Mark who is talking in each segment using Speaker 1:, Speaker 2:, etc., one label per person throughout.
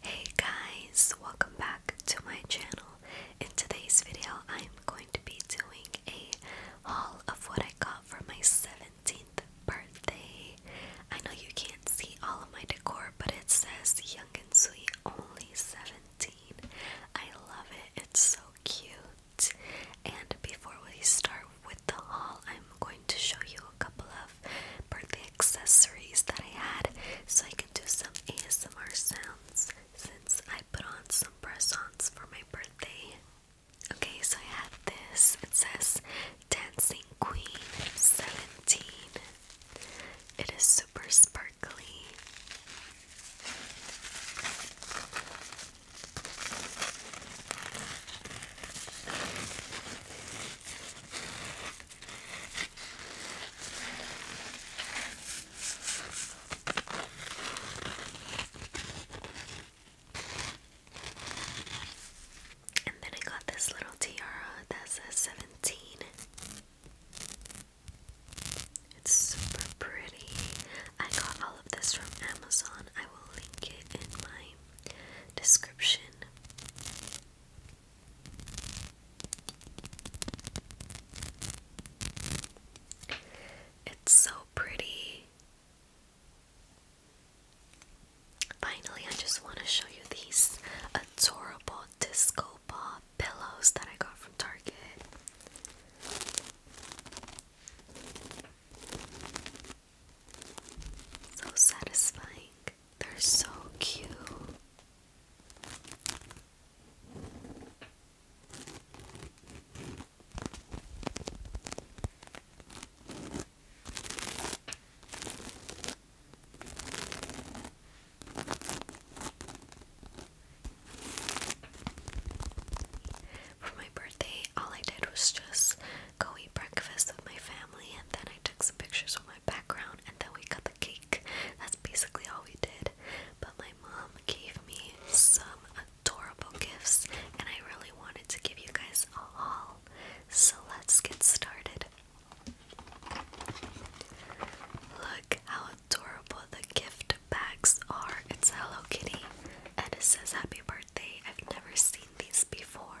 Speaker 1: Hey guys, welcome back to my channel. In today's video, I'm going to be doing a haul of what I got for my 17th birthday. I know you can't see all of my decor, but it says Young and Sweet Only 17. I love it, it's so cute. And before we start with the haul, I'm going to show you a couple of birthday accessories that I had so I can do some ASMR sounds since I put on some press-ons for my birthday. Okay, so I had this. It says Dancing Queen 17. It is super sparkly. And then I got this little tiara that says 17. It's super pretty. I got all of this from Amazon. I will link it in my description. It's so pretty. Finally, I just want to show you these adorable disco ball pillows that I got from Target. So satisfying. They're so cute. For my birthday, all I did was just go eat breakfast with my family, and then I took some pictures with my background, and then we cut the cake. That's basically all we did. But my mom gave me some adorable gifts, and I really wanted to give you guys a haul. So let's get started. Look how adorable the gift bags are. It's Hello Kitty, and it says happy birthday. I've never seen these before.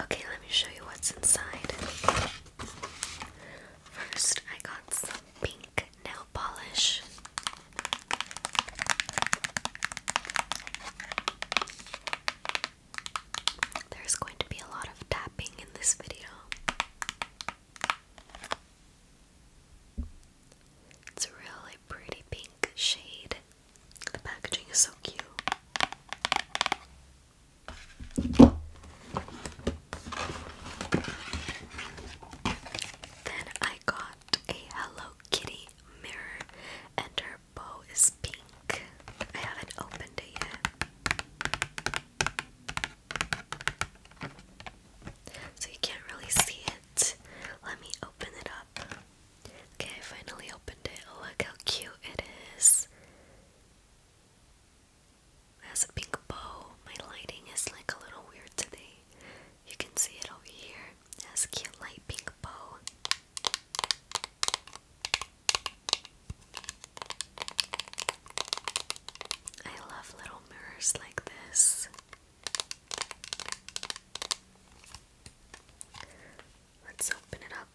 Speaker 1: Okay, let me show you what's inside. First, I got some pink nail polish. There's going to be a lot of tapping in this video. It's a really pretty pink shade. The packaging is so cute. Then I got a Hello Kitty mirror, and her bow is pink. I haven't opened it yet. So you can't really see it. Let me open it up. Okay, I finally opened it. Oh, look how cute it is. has a pink bow. My lighting is like a little weird today. You can see it over here. has a cute light pink bow. I love little mirrors like this. Let's open it up.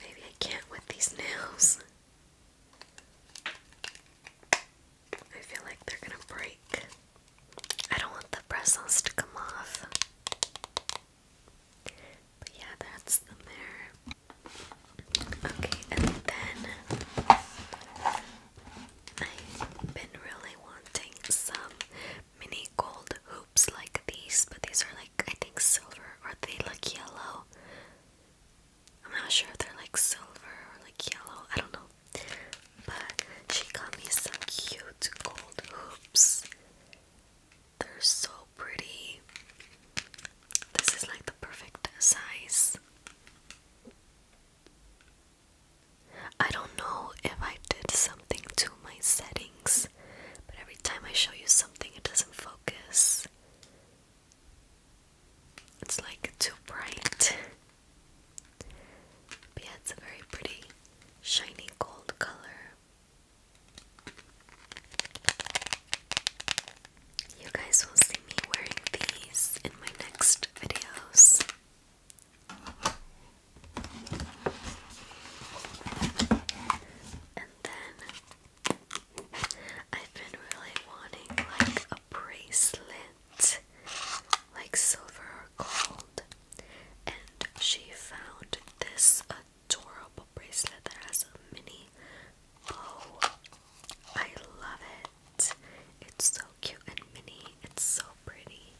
Speaker 1: Maybe I can't with these nails. I feel like they're gonna break. I don't want the bristles to come off. But yeah, that's the mirror. Okay, and then I've been really wanting some mini gold hoops like these, but these are like I think silver or they look yellow. I'm not sure they're like silver or like yellow, I don't know. But she got me some cute gold hoops. They're so pretty. This is like the perfect size. I don't know if I did something to my settings but every time I show you something, it doesn't focus. It's like too bright. But it's a very pretty, shiny gold color. You guys will see me wearing these in my next videos. And then I've been really wanting like a bracelet, like silver or gold. And she found this adorable bracelet that has a mini bow. I love it. It's so cute and mini. It's so pretty.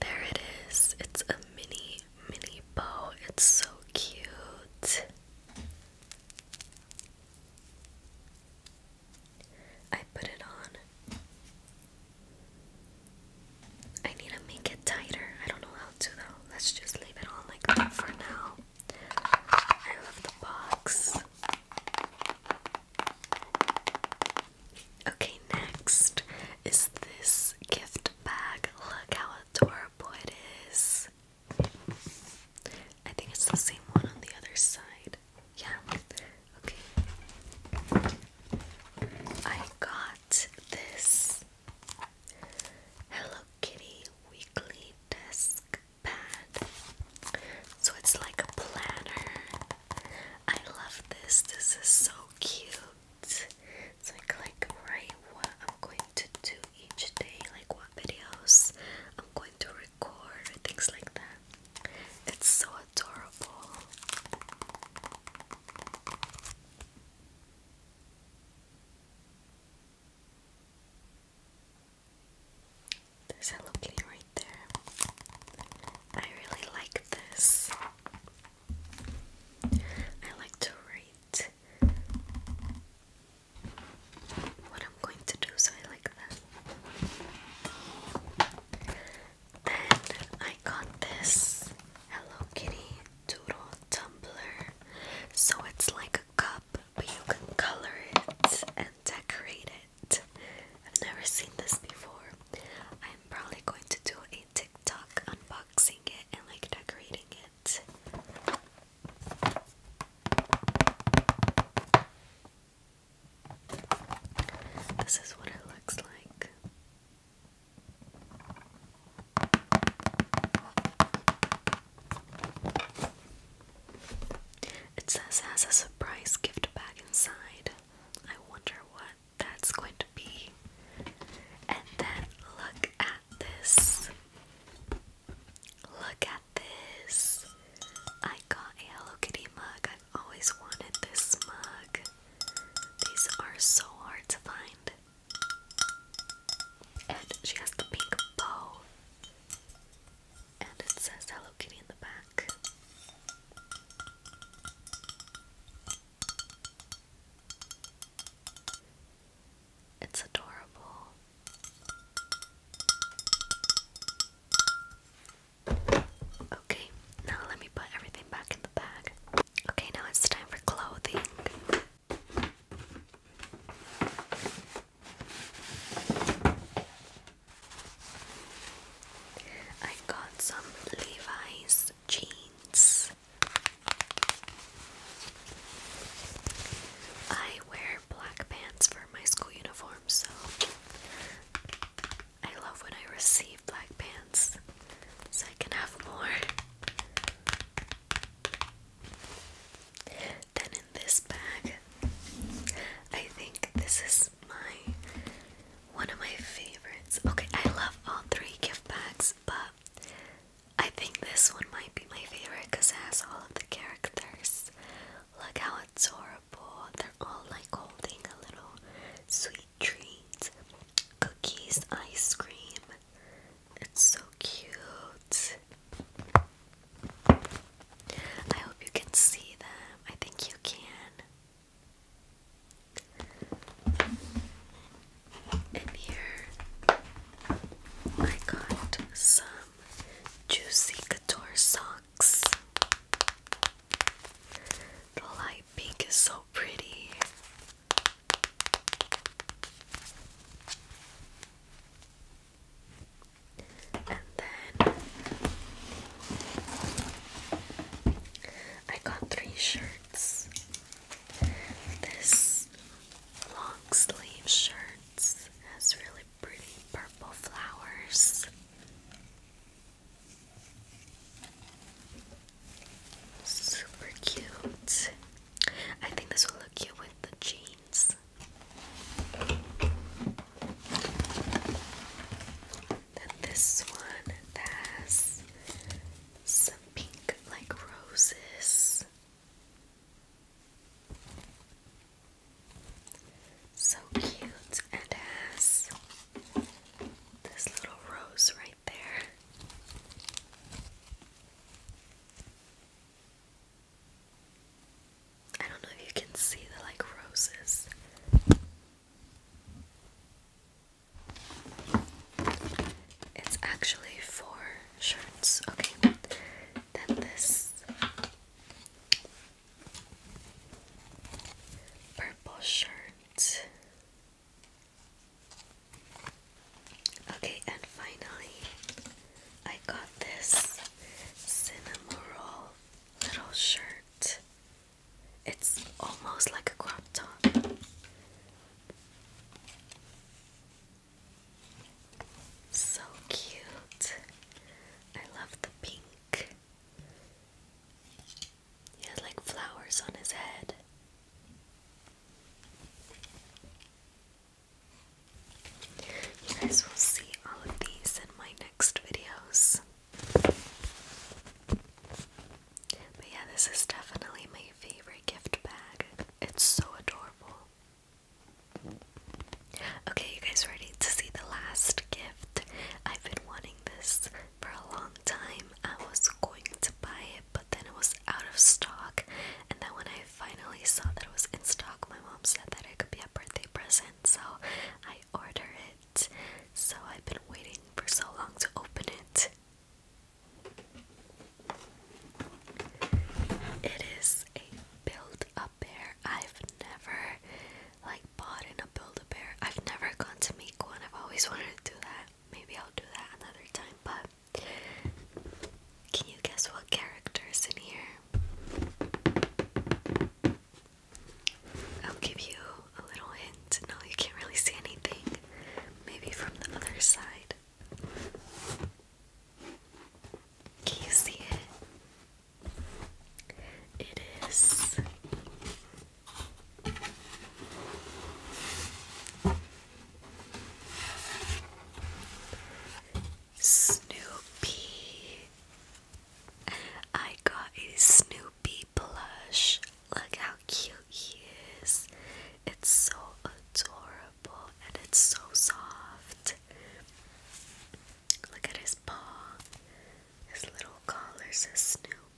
Speaker 1: There it is. It's a mini, mini bow. It's so cute. I put it on. I need to make it tighter. I don't know how to though. Let's just leave it on like that for now. I love the box. Okay, next is this gift bag. Look how adorable it is. I think it's the same one on the other side. Yeah. Okay. I got this Hello Kitty weekly desk pad. So it's like a planner. I love this. This is so cute. So I can like write what I'm going to do each day, like what videos I'm going to record, things like that. It's so adorable. There's Hello Kitty right there. I really like this. I like to write what I'm going to do, so I like that. Then I got this Hello Kitty Doodle Tumbler. So it's like a cup, but you can color it decorate it. I've never seen this before. I'm probably going to do a TikTok unboxing it and like decorating it. This is what it looks like. It says has a surprise gift bag inside. I wonder what that's going to be. And then look at this. Look at this. I got a Hello Kitty mug. I've always wanted this mug. These are so hard to find. And she has the pink bow and it says Hello Kitty in the back. It's adorable. Okay, now let me put everything back in the bag. Okay, now it's time for clothing. I got some Levi's jeans. I wear black pants for my school uniform, so I love when I receive black pants so I can have more. Then in this bag, I think this is my one of my favorites. Okay, I love all three gift bags, but I think this one might be my favorite because it has all of the characters. Look how adorable. They're all like holding a little sweet treats, cookies, ice cream. It's so cute. I hope you can see them. I think you can. And here I got some juicy couture socks. The light pink is so pretty. And then I got three shirts. This long sleeve shirt has really pretty purple flowers. Super cute. I think this will look cute with the jeans. this one has some pink like roses. So cute and has this little rose right there. I don't know if you can see the like roses. It's actually four shirts. Okay, then this purple shirt Okay, and finally, I got this cinnamon little shirt. It's almost like a crop top. So cute. I love the pink. He has like flowers on his head. You guys will see all of these in my next videos. But yeah, this is definitely my favorite gift bag. It's so adorable. Okay, you guys ready to see the last gift? I've been wanting this for a long time. I was going to buy it, but then it was out of stock, and then when I finally saw that it was in stock, my mom said that it could be a birthday present, so I ordered it. So I've been waiting for so long to open it. It is a build a bear. I've never like bought in a build a bear. I've never gone to make one. I've always wanted to do that. Maybe I'll do that another time, but can you guess what character is in here? I'll give you a little hint. No, you can't really see anything. Maybe from the other side. Can you see it? It is Snoopy. I got a Snoopy plush. Look how cute he is. It's so adorable and it's so soft. Look at his paw. His little collar says Snoopy.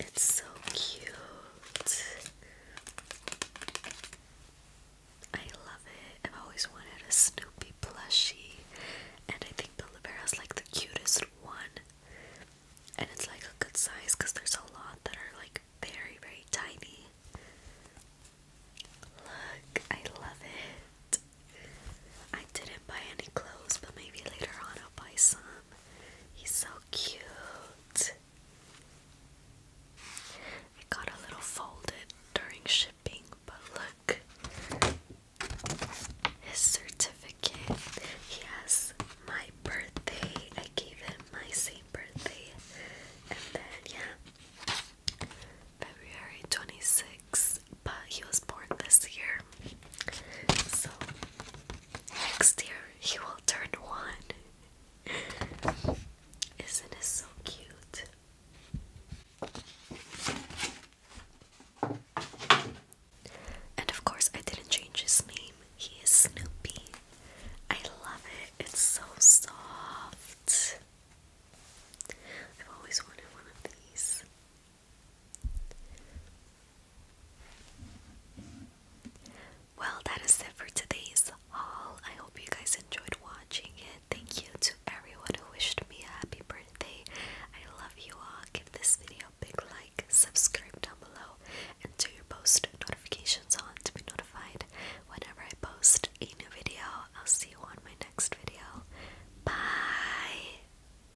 Speaker 1: It's so cute. I love it. I've always wanted a Snoopy plushie, and I think the like the cutest one. And it's like a good size because there's a lot that are like very, very tiny. Look, I love it. I didn't buy any clothes, but maybe later on I'll buy some. He's so cute. It got a little folded during shipping, but look. His certificate. He my birthday. I gave him my same birthday. And then, yeah, February 26th. But he was born this year. So next year he will turn one. Isn't it so cute? And of course, I didn't change his name. He is Snoopy. I love it. It's so soft. I've always wanted one of these. Well, that is it for today's haul. I hope you guys enjoyed watching it. Thank you to everyone who wished me a happy birthday. I love you all. Give this video a big like, subscribe down below, and turn your post notifications on to be notified whenever I post a new video. I'll see you on my next video. Bye!